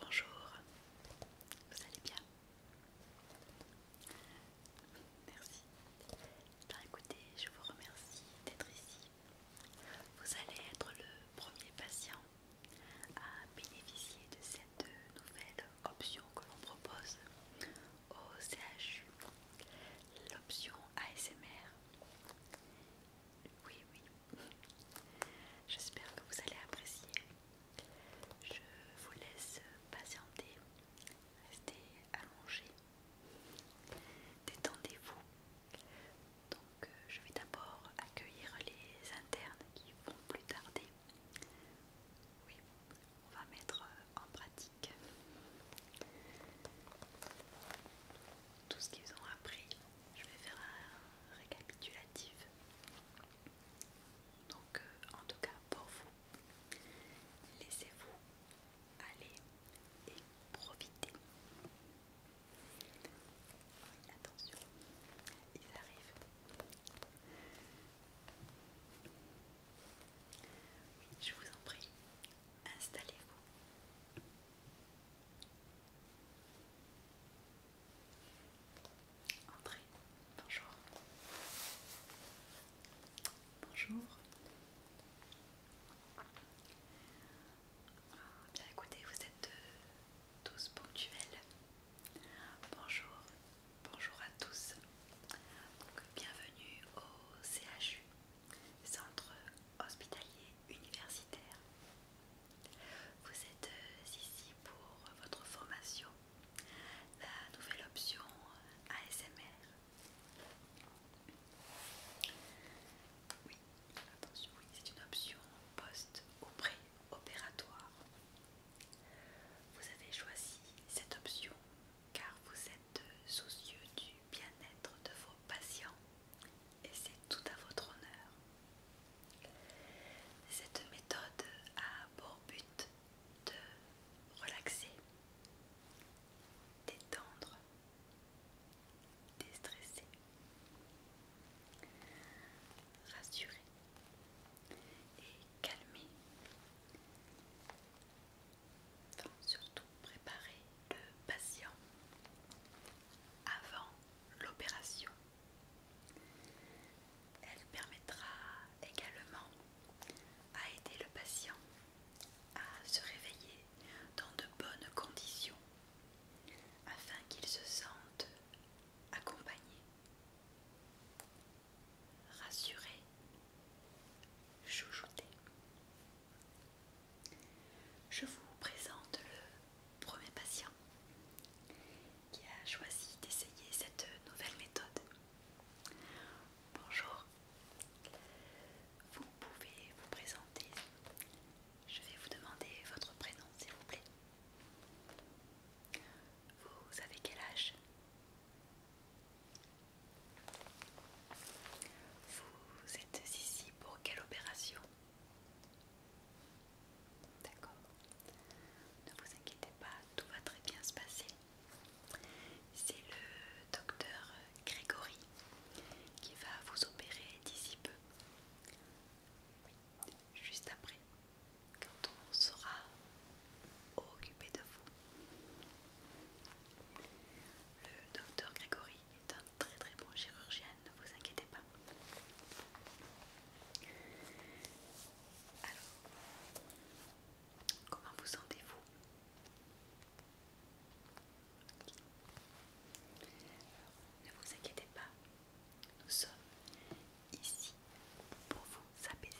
Bonjour, vous allez bien Merci. Ben, écoutez, je vous remercie d'être ici. Vous allez être le premier patient à bénéficier de cette nouvelle option que l'on propose au CHU, l'option ASMR. Oui, oui, j'espère que vous allez apprécier. Je vous laisse patienter, restez allongé, détendez-vous. Donc euh, je vais d'abord accueillir les internes qui vont plus tarder. Oui, on va mettre euh, en pratique tout ce qu'ils ont appris. Je vais faire un récapitulatif. Donc euh, en tout cas pour vous, laissez-vous aller et profitez. Attention, ils arrivent. je vous en prie, installez-vous. Entrez, bonjour. Bonjour. Bien écoutez, vous êtes euh, tous ponctuels. Bonjour, bonjour à tous. bienvenue au CHU, Centre Hospitalier Universitaire. Vous êtes euh, ici pour votre formation, la nouvelle option euh, ASMR. Oui, Attention, oui, c'est une option post opératoire Vous avez choisi cette option car vous êtes soucieux du bien-être de vos patients et c'est tout à votre honneur. Cette méthode a pour but de relaxer, détendre, déstresser, rassurer et calmer, surtout préparer le patient avant l'opération. Elle permettra également à aider le patient à se réveiller dans de bonnes conditions afin qu'ils se sentent accompagnés, rassurés, chouchoutés. Je vous présente le premier patient qui a choisi d'essayer cette nouvelle méthode. Bonjour, vous pouvez vous présenter je vais vous demander votre prénom, s'il vous plaît. Vous avez quel âge Vous êtes ici pour quelle opération D'accord. Ne vous inquiétez pas, tout va très bien se passer. C'est le docteur Grégory qui va vous opérer d'ici peu juste après, quand on sera occupé de vous. Le docteur Grégory est un très très bon chirurgien, ne vous inquiétez pas. Alors, comment vous sentez-vous Ne vous inquiétez pas, nous sommes ici pour vous apaiser.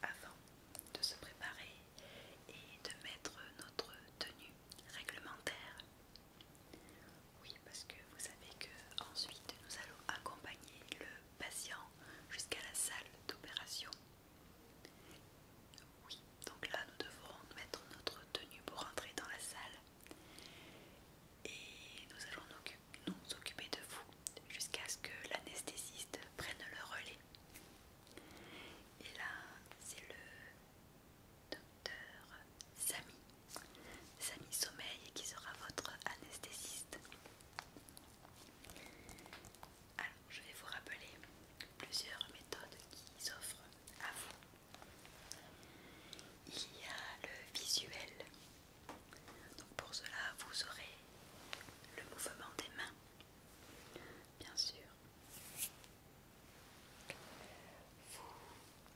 Alors, avant de se préparer et de mettre notre tenue réglementaire oui, parce que vous savez que ensuite nous allons accompagner le patient jusqu'à la salle d'opération. Oui, donc là nous devrons mettre notre tenue pour entrer dans la salle et nous allons nous occuper de vous jusqu'à ce que l'anesthésiste prenne le relais. Et là, c'est le docteur Samy, Samy Sommeil qui sera votre anesthésiste. Alors, je vais vous rappeler plusieurs méthodes qui offrent à vous. Il y a le visuel. Donc pour cela, vous aurez le mouvement des mains, bien sûr. Vous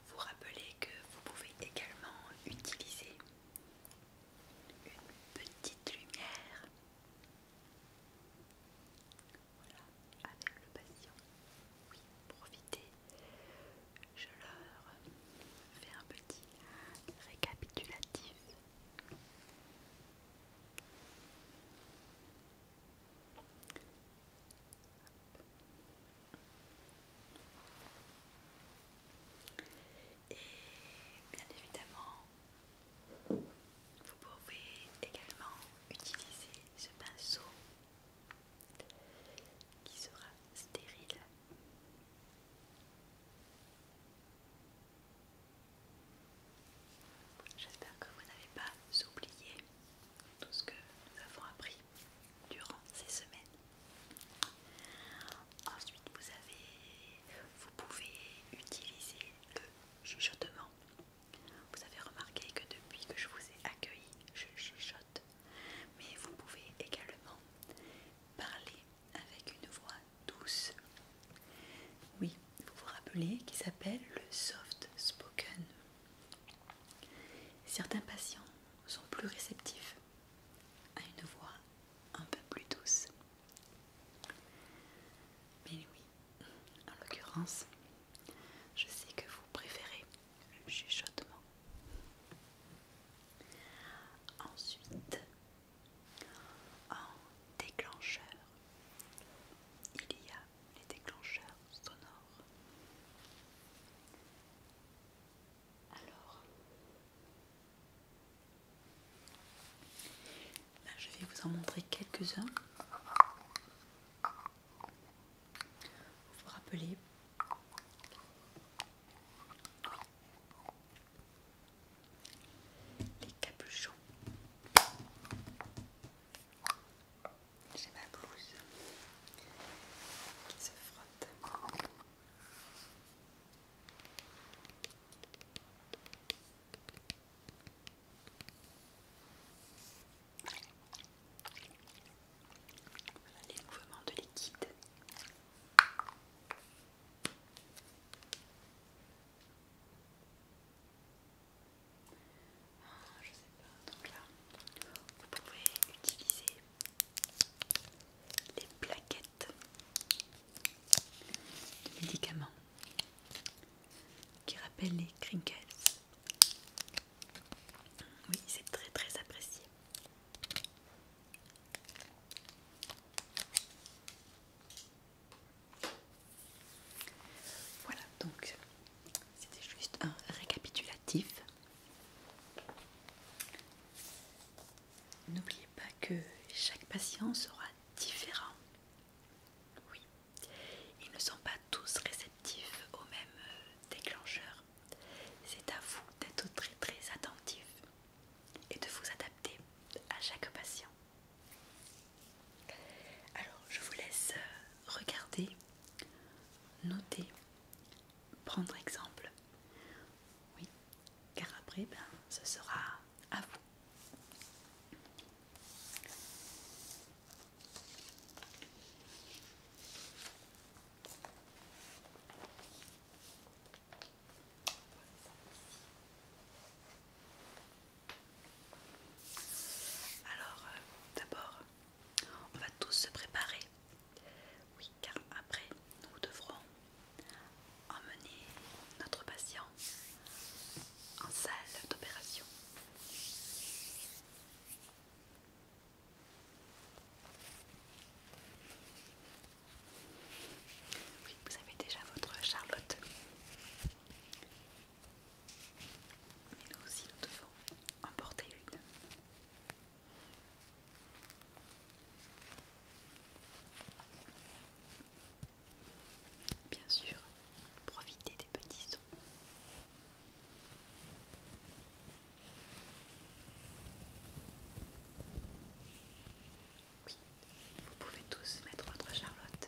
vous rappelez que vous pouvez également utiliser une petite lumière voilà, avec le patient. Oui, profitez. Je leur fais un petit récapitulatif. Et bien évidemment, vous pouvez également utiliser ce pinceau qui sera stérile. J'espère que vous n'avez pas oublié tout ce que nous avons appris durant ces semaines. Ensuite, vous, avez, vous pouvez utiliser le chuchotement. Vous avez remarqué que depuis que je vous ai accueilli, je chuchote. Mais vous pouvez également parler avec une voix douce. Oui, vous vous rappelez qu'il s'appelle le soft spoken. Certains patients sont plus réceptifs à une voix un peu plus douce. Mais oui, en l'occurrence, je sais que vous préférez le chuchotement. Ensuite, en déclencheur, il y a les déclencheurs sonores. Alors, je vais vous en montrer quelques-uns. Vous vous rappelez les capuchons. J'ai ma blouse qui se frotte. Voilà les mouvements de liquide. Ah, je sais pas, donc là vous pouvez utiliser les plaquettes de médicaments qui rappellent les crinkles. Oui, c'est très très apprécié. Voilà, donc c'était juste un récapitulatif. N'oubliez pas que chaque patient sera différent. Oui, ils ne sont pas tous réceptifs aux même euh, déclencheur. C'est à vous d'être très très attentif et de vous adapter à chaque patient. Alors, je vous laisse euh, regarder, noter, prendre exemple. Oui, car après, ben, ce sera à vous. Alors, euh, d'abord, on va tous se préparer. Oui, car après, nous devrons emmener notre patient en salle d'opération. Oui, vous avez déjà votre Charlotte. Mais nous aussi, nous devons en porter une. Bien sûr, profitez des petits sons. Oui, vous pouvez tous mettre votre Charlotte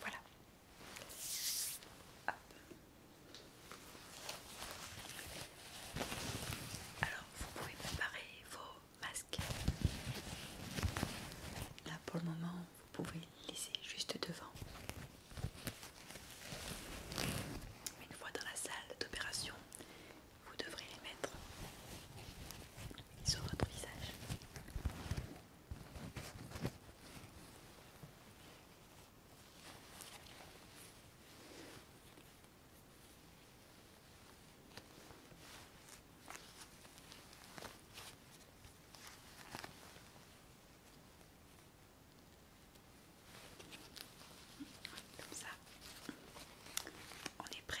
Voilà. Alors, vous pouvez préparer vos Masque. Là pour le moment, vous pouvez les laisser juste devant. Une fois dans la salle d'opération, vous devrez les mettre sur votre visage. Comme ça, on est prêt.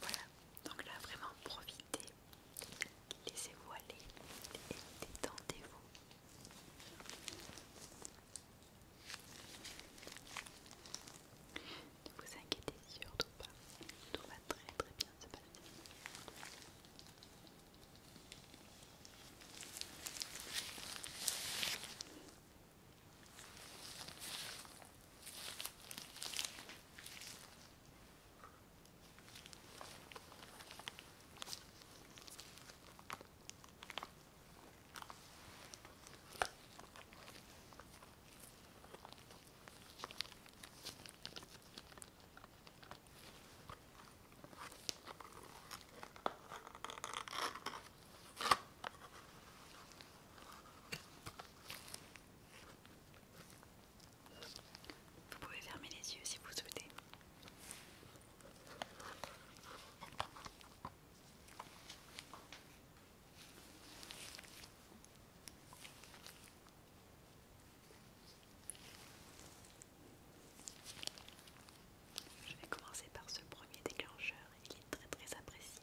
Voilà, donc là vraiment profitez, laissez-vous aller détendez-vous. Ne vous inquiétez surtout pas, tout va très très bien se passer. Vous pouvez fermer les yeux si vous souhaitez. Je vais commencer par ce premier déclencheur, il est très très apprécié.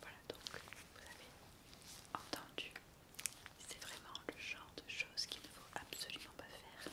Voilà donc, vous avez entendu, c'est vraiment le genre de choses qui ne faut absolument on peut faire.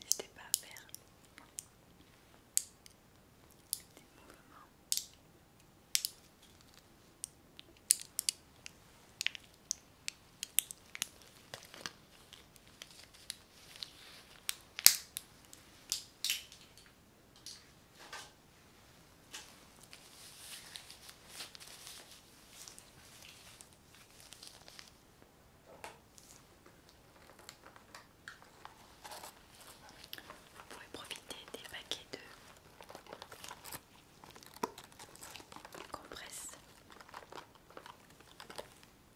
N'hésitez pas à faire des mouvements. Vous pouvez profiter des paquets de compresse.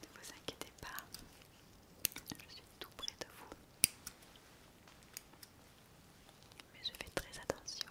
Ne vous inquiétez pas, je suis tout près de vous. Mais je fais très attention.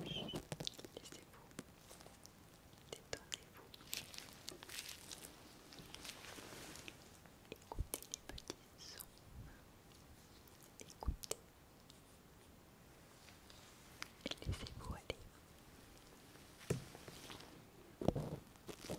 Laissez-vous, détendez-vous. Écoutez les petits sons. Écoutez. Et laissez-vous aller. Laissez-vous aller.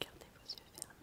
Gardez vos yeux fermés.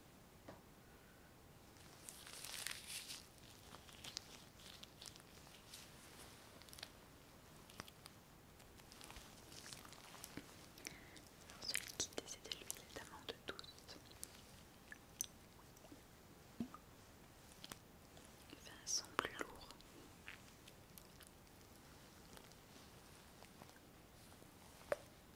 Alors celui qui décide de l'huile d'amande de tous. Il fait un son plus lourd.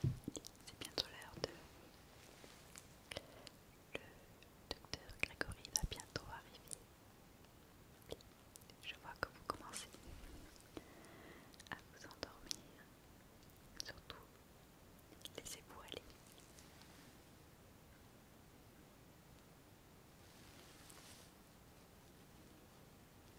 C'est bientôt l'heure de... Le docteur Grégory va bientôt arriver. Je vois que vous commencez à vous endormir. Surtout, laissez-vous aller.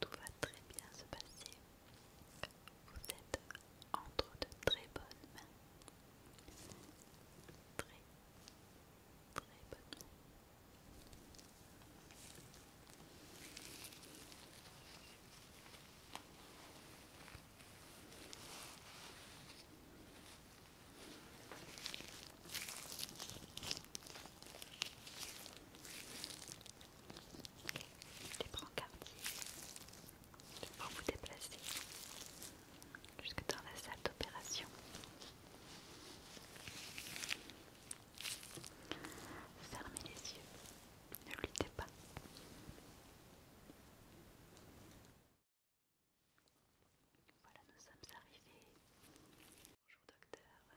Tout va très bien se passer. Vous êtes entre de très bonnes mains. Très, très bonnes les brancardiers pour vous déplacer jusque dans la salle d'opération. Fermez les yeux, ne luttez pas. Voilà, nous sommes arrivés. Bonjour docteur.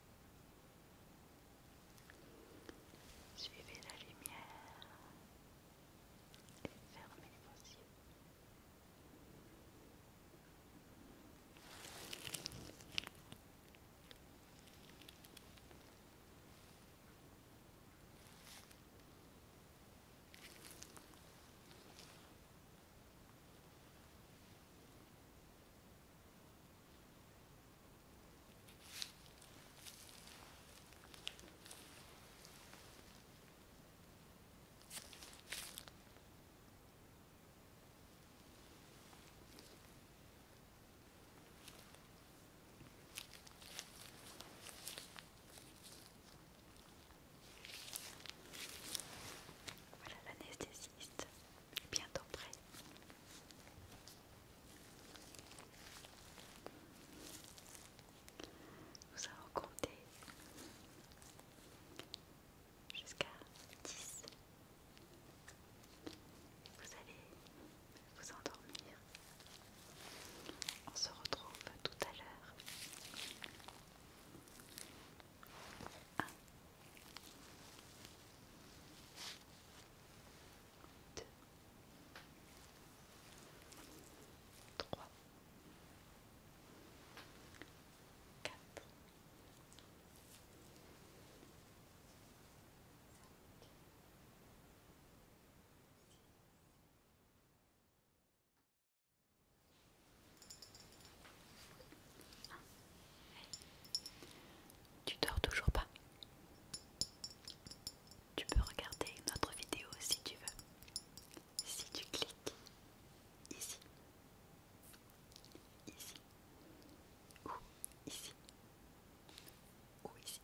Suivez la lumière et fermez vos yeux. Voilà l'anesthésiste bientôt prêt. Nous allons compter jusqu'à 10. Vous allez vous endormir. On se retrouve tout à l'heure deux, trois, quatre, tu dors toujours pas Tu peux regarder notre vidéo si tu veux. Si tu cliques ici, ici, ou ici, ou ici.